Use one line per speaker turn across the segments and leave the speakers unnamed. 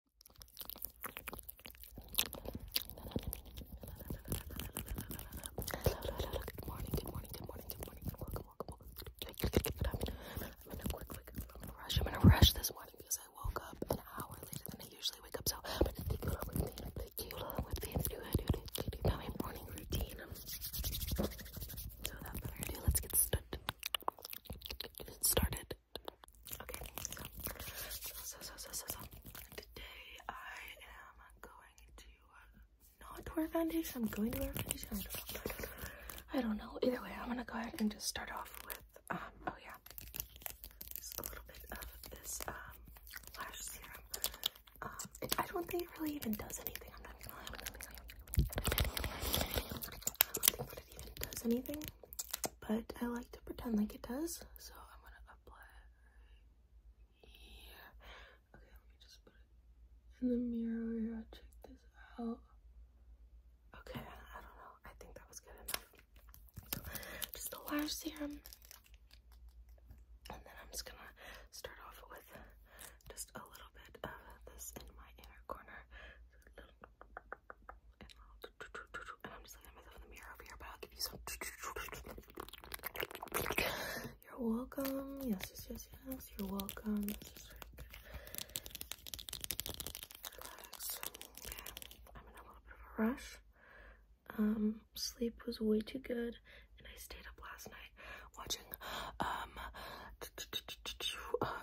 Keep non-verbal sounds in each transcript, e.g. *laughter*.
Good morning, good morning, good morning, good morning, welcome, welcome, welcome. I'm in a rush. I'm in a rush this morning because I woke up an hour later than I usually wake up, so my morning routine. So without further ado, let's Get started. Okay, so, so, so, so, so, today I am going to uh, not wear foundation. I'm going to wear foundation. I don't know. Either way, I'm gonna go ahead and just start off with, um, oh yeah, just a little bit of this, um, lash serum. Um, I don't think it really even does anything. I'm not going I don't think it even does anything but I like to pretend like it does, so I'm gonna apply it Okay, let me just put it in the mirror here. Check this out. Okay, I don't know. I think that was good enough. just the last serum, and then I'm just gonna start off with just a little bit of this in my inner corner you are welcome. Yes, yes, yes, yes. You're welcome. Relax. I'm in a little bit of a rush. Um, sleep was way too good, and I stayed up last night watching um, *tsk* uh,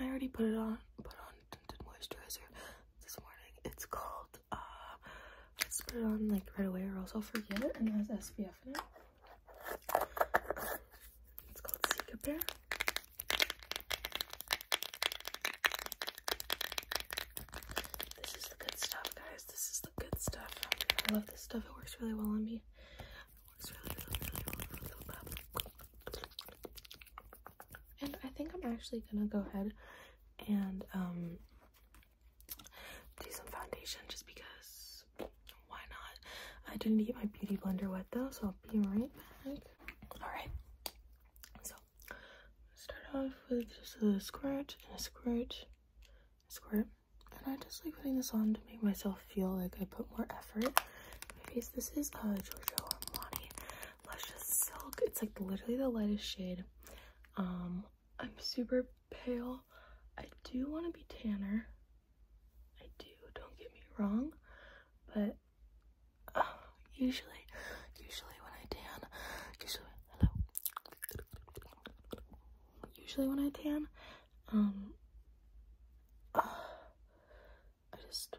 I already put it on, put on tinted moisturizer this morning. It's called, uh, let's put it on like right away or else I'll forget. And it has SPF in it. It's called Seek Bear. This is the good stuff, guys. This is the good stuff. I love this stuff. It works really well on me. And I think I'm actually gonna go ahead and um, do some foundation just because why not? I didn't get my beauty blender wet though, so I'll be right back. Alright. So start off with just a squirt and a squirt, a squirt. And I just like putting this on to make myself feel like I put more effort my face. This is uh, Giorgio Armani Luscious Silk. It's like literally the lightest shade. Um, I'm super pale. I do want to be tanner. I do, don't get me wrong. But uh, usually, usually when I tan, usually, hello usually when I tan. Um, I just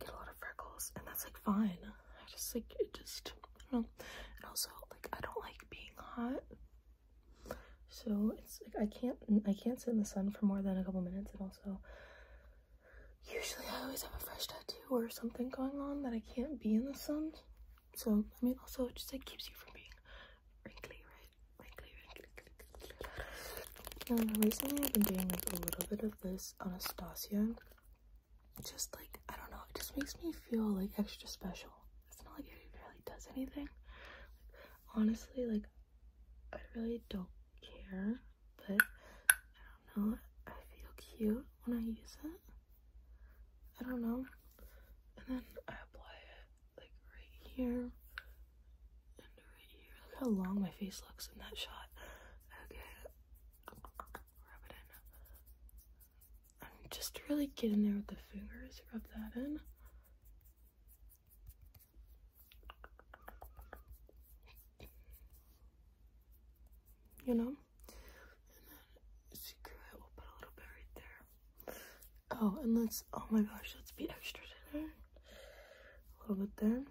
get a lot of freckles, and that's like fine. I just like it just I don't know. And also, like I don't like being hot, so it's like I can't I can't sit in the sun for more than a couple minutes, and also. Usually I always have a fresh tattoo or something going on that I can't be in the sun. So, I mean, also just like keeps you from being wrinkly, um, recently I've been doing like a little bit of this Anastasia. Just like, I don't know, it just makes me feel like extra special. It's not like it really does anything. honestly, like, I really don't care, but I don't know. I feel cute when I use it. I don't know and then I apply it like right here and right here. Look how long my face looks in that shot. Okay, rub it in. I'm just really get in there with the fingers. Rub that in. You know? And then secret, we'll put a little bit right there. Oh, and let's, oh my gosh, let's be extra tonight. A little bit there.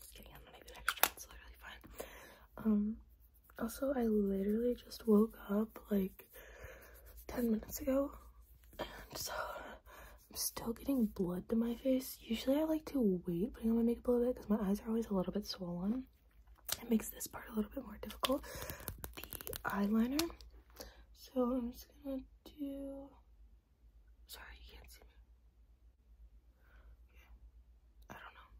Just kidding, i even extra, it's literally fine. Um, also, I literally just woke up like 10 minutes ago. And so, I'm still getting blood to my face. Usually I like to wait putting on my makeup a little bit because my eyes are always a little bit swollen. It makes this part a little bit more difficult. The eyeliner so I'm just gonna do, sorry, you can't see me. Yeah, I don't know.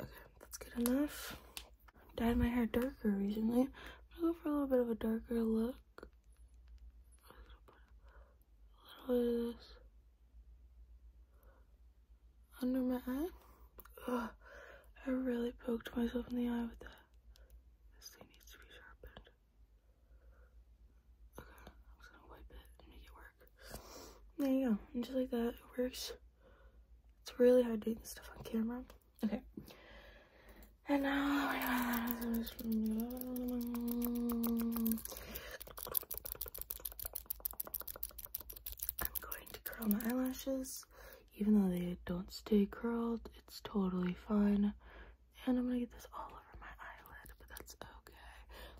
Okay, that's good enough. Dyed my hair darker recently. I'm gonna go for a little bit of a darker look. a little bit of this under my eye. I really poked myself in the eye with that. This thing needs to be sharpened. Okay, I'm gonna wipe it and make it work. There you go. And just like that, it works. It's really hard doing this stuff on camera. Okay. And now I'm going to curl my eyelashes. Even though they don't stay curled, it's totally fine. And I'm gonna get this all over my eyelid, but that's okay.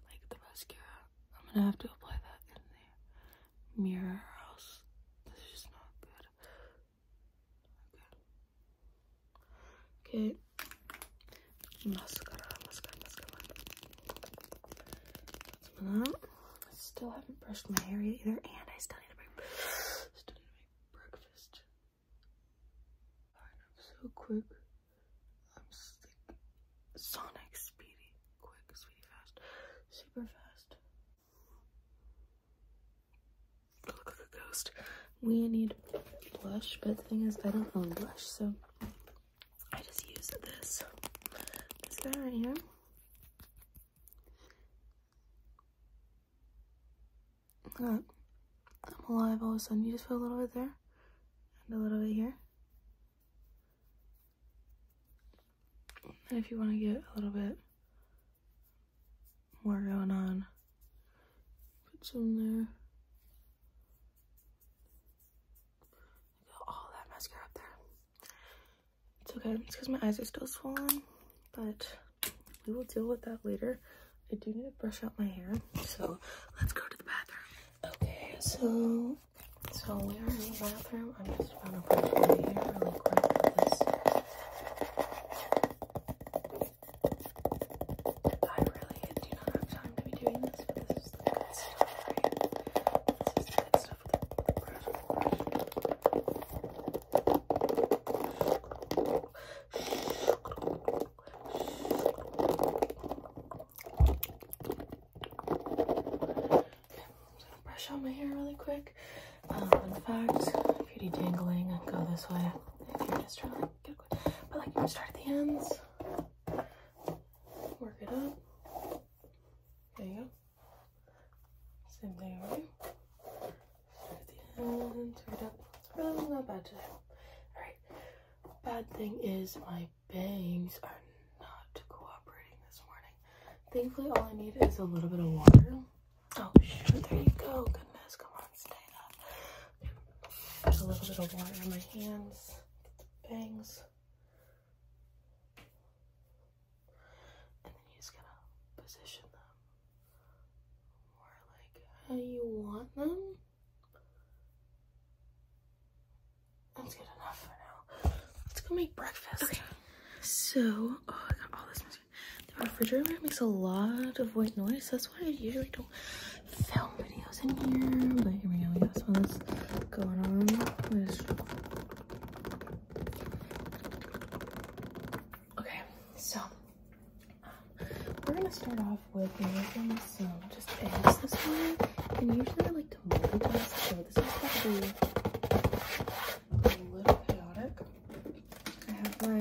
Like the mascara, I'm gonna have to apply that in the mirror, else this is just not good. Okay. Mascara, mascara, mascara. still haven't brushed my hair either, and I still need to breakfast. I'm so quick. I'm Sonic, speedy, quick, sweet, fast, super fast. We need blush, but the thing is, I don't own blush, so I just use this. This guy right here. I'm alive all of a sudden. You just put a little bit there, and a little bit here. And if you want to get a little bit more going on, put some there. Got all that mascara up there. It's okay. It's because my eyes are still swollen, but we will deal with that later. I do need to brush out my hair, so let's go to the bathroom. Okay, so so we are bathroom. I'm just gonna brush my hair really quick with this. I really do not have time to be doing this, but this is the good stuff, right? This is the good stuff with the, with the brush. brush brush out my hair really quick. Um, in fact, beauty tangling go this way. If you're just trying to like, get quick, but like you can start at the ends, work it up. There you go. Same thing Start at the end, work it up. It's really not bad today. Alright. Bad thing is my bangs are not cooperating this morning. Thankfully, all I need is a little bit of water. Oh, shoot, there you go. Goodness, come on, stay up. There's a little bit of water on my hands, bangs. And then you gonna position them more like how you want them. That's good enough for now. Let's go make breakfast. Okay. So, oh, I got all this the refrigerator makes a lot of white noise. That's why I usually don't film videos in here. But here we go. We got some of this going on. Okay, so um, we're gonna start off with making So just eggs this one. And usually I like to multitask, so this is probably a little chaotic. I have my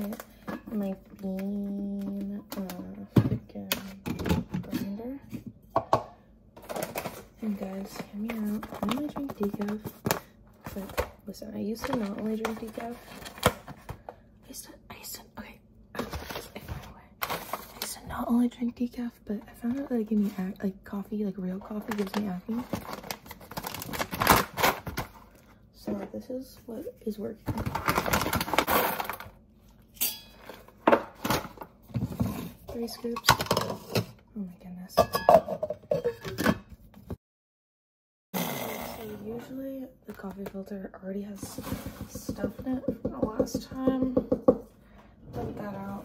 my bean uh, freaking grinder. And guys, hear me out. I only drink decaf, but listen, I used to not only drink decaf. I used to, I used to, okay, I used to not only drink decaf, but I found out that like, give me like coffee, like real coffee, gives me acne. So this is what is working. Three scoops. Oh my goodness. usually the coffee filter already has stuff in it the last time. Dump that out.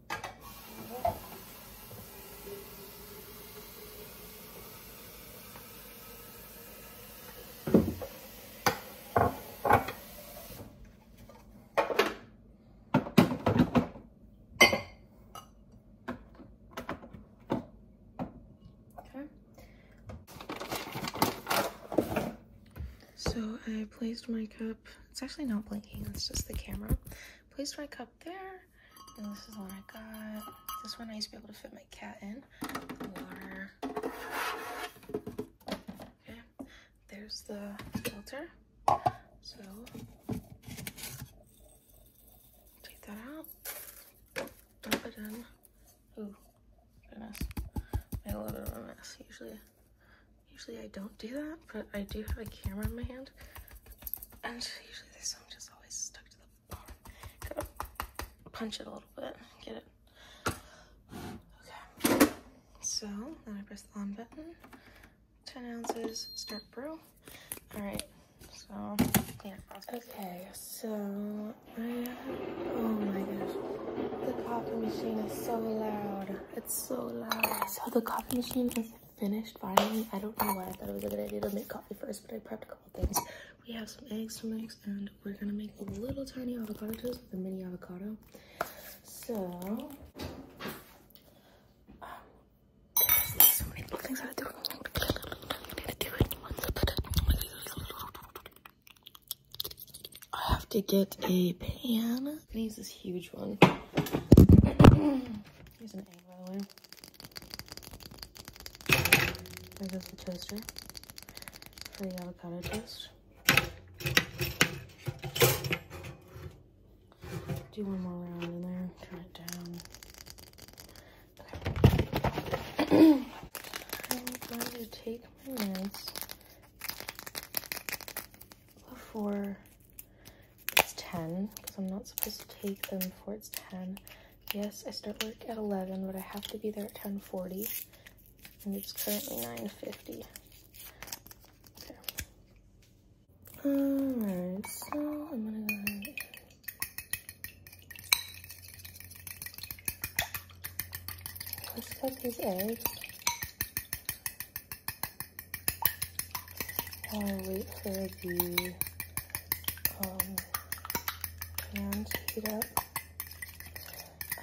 So I placed my cup it's actually not blinking, it's just the camera. Placed my cup there, this is the one I got. This one I used to be able to fit my cat in. Okay, there's the filter. So, take that out, dump it in. Ooh, goodness. Made a little bit of a mess usually. Usually I don't do that, but I do have a camera in my hand. And usually this song just always stuck to the bottom. got punch it a little bit, get it. Okay. So then I press the on button. 10 ounces, start brew. All right, so yeah. Okay, so I, oh my gosh, the coffee machine is so loud so loud. So the coffee machine is finished finally. I don't know why I thought it was a good idea to make coffee first, but I prepped a couple things. We have some eggs to mix and we're gonna make little tiny avocado toast with a mini avocado. So, so many little things I do. I have to get a pan. i huge one. *clears throat* Here's an egg, by the way. There goes the toaster for the avocado toast. Do one more round in there, turn it down. *clears throat* I'm going to take my meds before it's 10 because I'm not supposed to take them before it's 10. Yes, I start work at 11, but I have to be there at 10.40, and it's currently 9.50. Alright, so I'm gonna go ahead Let's cut these eggs while I wait for the pan um, to heat up.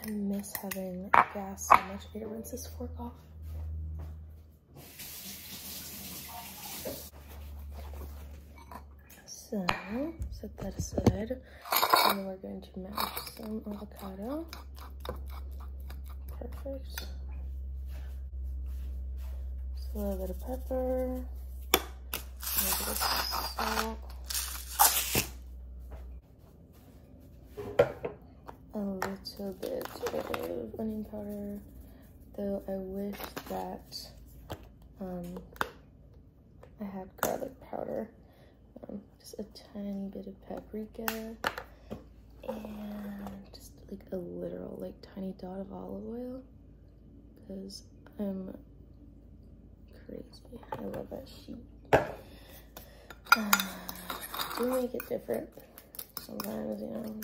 I miss having gas so much. It need to this fork off. So, set that aside. And we're going to mash some avocado. Perfect. Just a little bit of pepper. A little bit of onion powder. Though I wish that um, I had garlic powder. Um, just a tiny bit of paprika and just like a literal like tiny dot of olive oil because I'm crazy. I love that sheet. do *sighs* make it different sometimes, you know.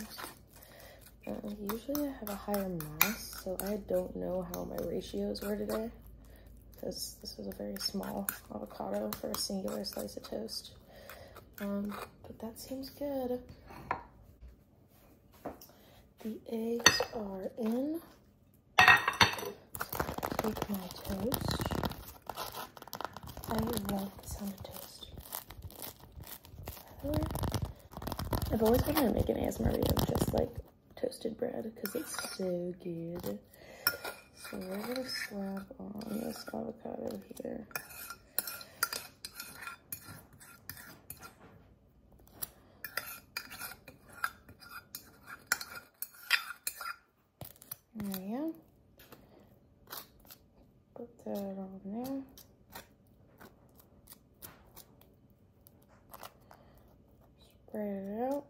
Uh, usually I have a higher mass, so I don't know how my ratios were today because this is a very small avocado for a singular slice of toast. Um, but that seems good. The eggs are in. Take my toast. I love the sound toast. I've always wanted to make an ASMR video of just like toasted bread because it's so good. So we're gonna slap on this avocado here. There we go. Put that on there. Spread it out.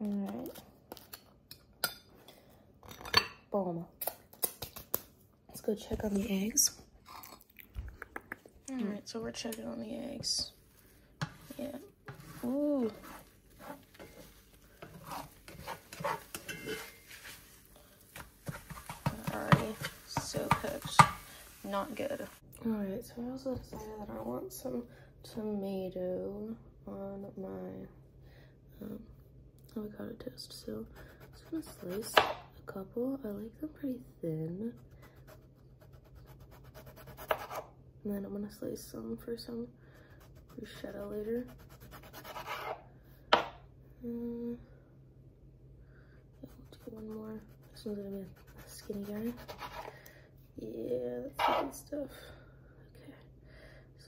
All right. Boom. Let's go check on the eggs. Mm. All right, so we're checking on the eggs. Yeah. Ooh. Already so cooked. Not good. All right, so I also decided that I want some tomato on my um, avocado toast. So I'm gonna slice a couple. I like them pretty thin. And then I'm gonna slice some for some bruschetta later. Um, do one more. This one's gonna be a skinny guy. Yeah, that's good stuff. Okay,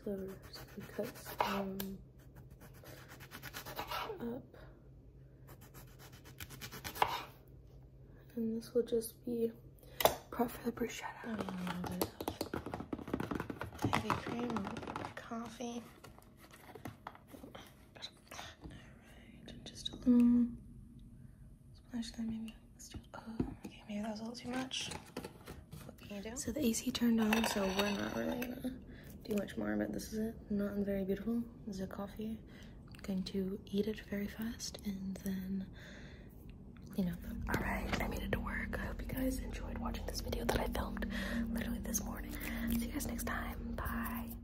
so we're gonna cut some um, up. And this will just be prep for the bruschetta. Heavy cream, coffee just a little mm. splash there maybe. Oh, okay, maybe that was a little too much. So the AC turned on, so we're not really gonna do much more, but this is it. Not very beautiful. This is a coffee. I'm going to eat it very fast and then you know. Alright, I made it to work. I hope you guys enjoyed watching this video that I filmed literally this morning. See you guys next time. Bye.